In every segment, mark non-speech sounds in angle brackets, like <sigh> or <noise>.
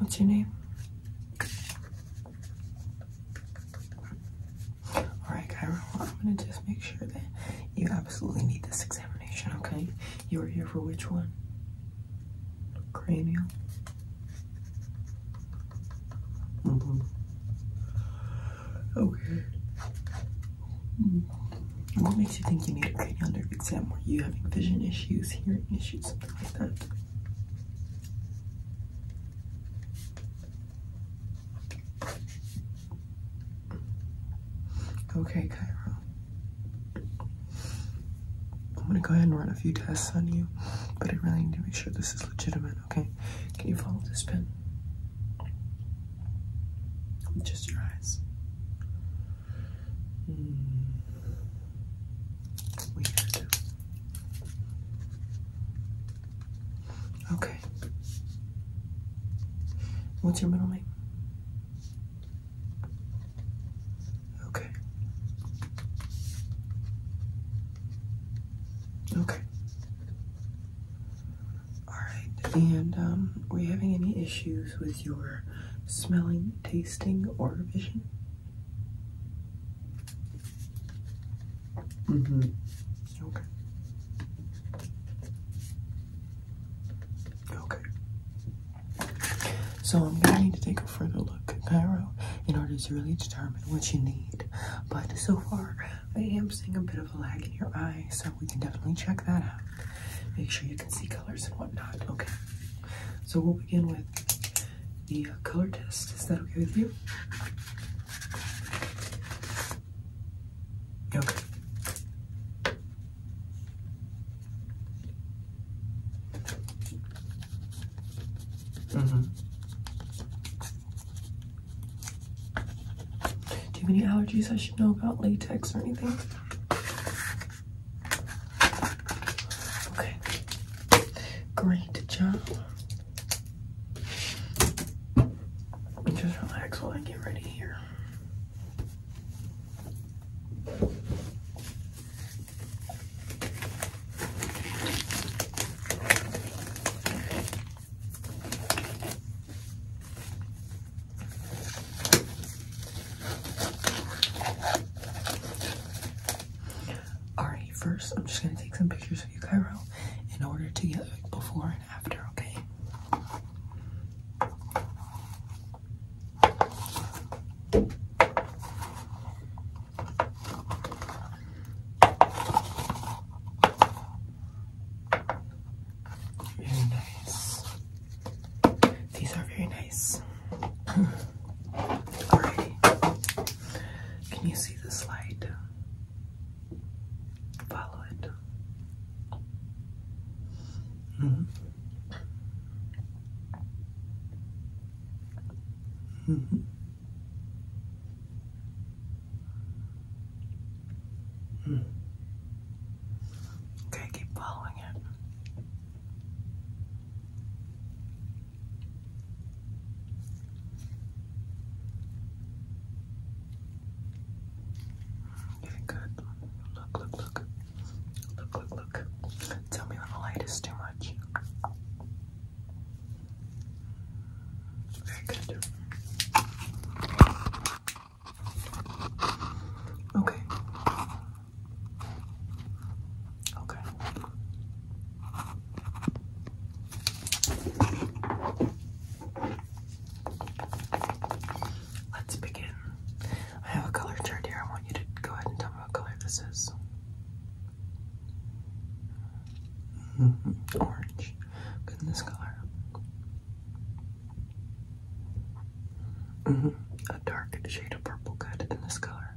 What's your name? Alright, Kyra, I'm gonna just make sure that you absolutely need this examination, okay? You are here for which one? Cranial. Mm -hmm. Okay. What makes you think you need a cranial nerve exam? Were you having vision issues, hearing issues, something like that? Okay, Cairo. I'm gonna go ahead and run a few tests on you, but I really need to make sure this is legitimate, okay? Can you follow this pen? just your eyes. Mm. Weird. Okay. What's your middle name? Okay. Okay. Alright, and um, were you having any issues with your smelling, tasting, or vision? Mm hmm. Okay. Okay. So I'm going to need to take a further look at Cairo in order to really determine what you need but so far, I am seeing a bit of a lag in your eye, so we can definitely check that out. Make sure you can see colors and whatnot. Okay. So we'll begin with the uh, color test. Is that okay with you? Okay. Mm-hmm. Do you have any allergies I should know about? Latex or anything? Okay. Great job. Just relax while I get ready here. Alright, first I'm just gonna take some pictures of you, Cairo, in order to get like before and after, okay? Very nice. These are very nice. Alrighty. Can you see the slide? Follow it. -hmm. -hmm. Hmm. Okay, keep following it. Getting good. Look, look, look. Look, look, look. Tell me when the light is too much. Very good. Okay. Okay. Let's begin. I have a color chart here. I want you to go ahead and tell me what color this is. Mm <laughs> -hmm. Orange. Goodness color. -hmm. A dark shade of purple good in this color.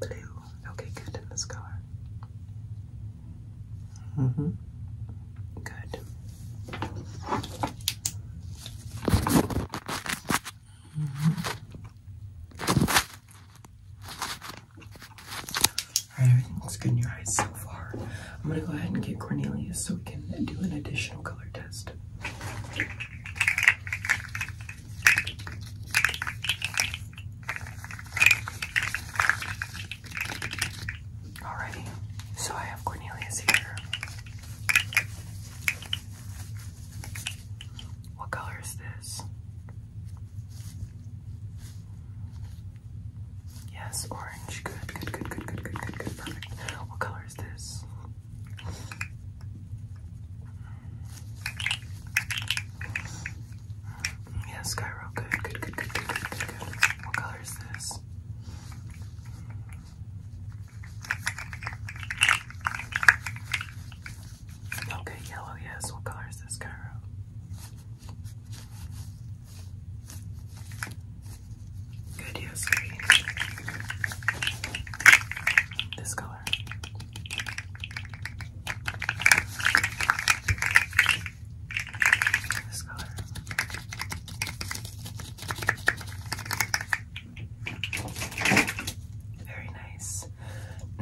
Blue. Okay, good in this color. hmm Good everything looks good in your eyes so far. I'm gonna go ahead and get Cornelius so we can do an additional color test. Alrighty, so I have Cornelius here. What color is this? Yes, orange. Good, good, good, good, good, good, good, good. Perfect. What color is this? Yes, Cairo. Good, good, good, good, good, good, good, What color is this? Okay, yellow, yes. What color is this, Cairo? Good, yes, green. This color. This color. Very nice.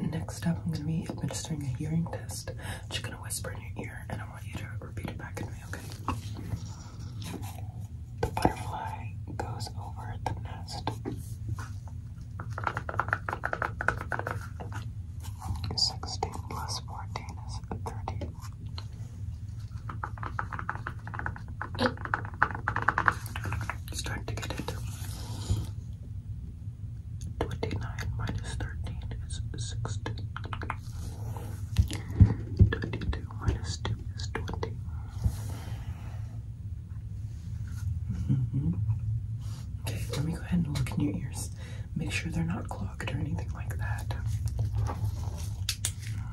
Next up, I'm going to be administering a hearing test. I'm just going to whisper in your ear, and I want you to repeat it back at me, okay? The butterfly goes over the nest. Sixteen plus fourteen is thirty. Start to get it. 29 minus 13 is 16. 22 minus 2 is 20. Mm-hmm. Okay, let me go ahead and look in your ears. Make sure they're not clogged or anything like that.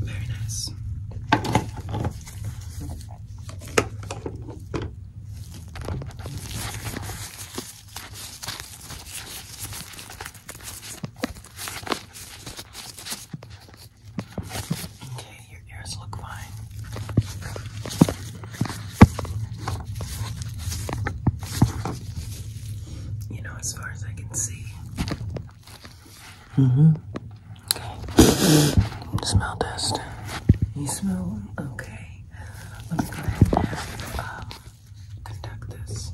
Very nice. Okay, your ears look fine. You know, as far as I can see, Mm-hmm. Okay. Smell test. You smell Okay. Let me go ahead and um, conduct this.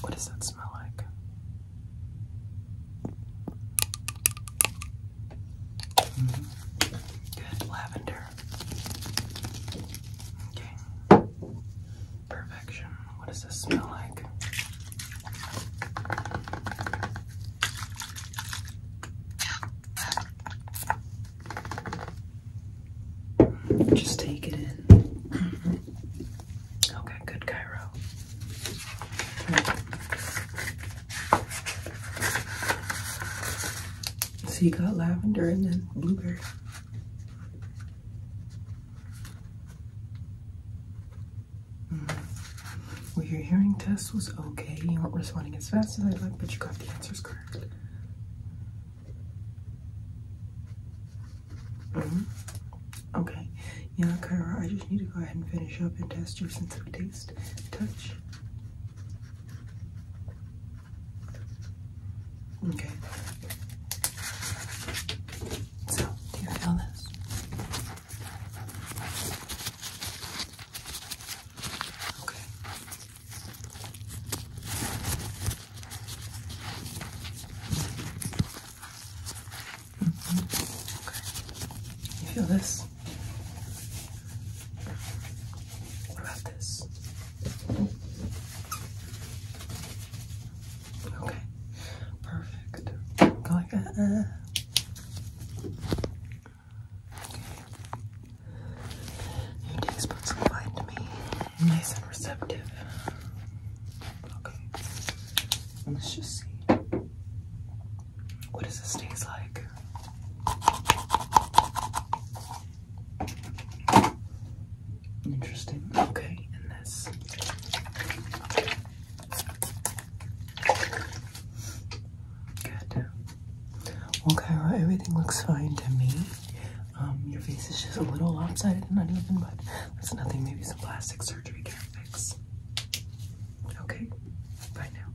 What does that smell like? Mm-hmm. Good lavender. Okay. Perfection. What does this smell like? Just take it in. <laughs> okay, good, Cairo. So you got lavender and then blueberry. Mm. Well, your hearing test was okay. You weren't responding as fast as I'd like, but you got the answers correct. Mm -hmm. Okay. Yeah, Kyra, I just need to go ahead and finish up and test your sense of taste, touch, Okay. So, do you feel this? Okay. Mm-hmm. You feel this? What about this? Okay, perfect. Go like Okay. Your dick's supposed to glide to me. Nice and receptive. Okay. Let's just see. What does this taste like? Interesting. Okay, and this. Good. Well, Kyra, everything looks fine to me. Um, your face is just a little lopsided and even, but that's nothing. Maybe some plastic surgery can fix. Okay. Bye now.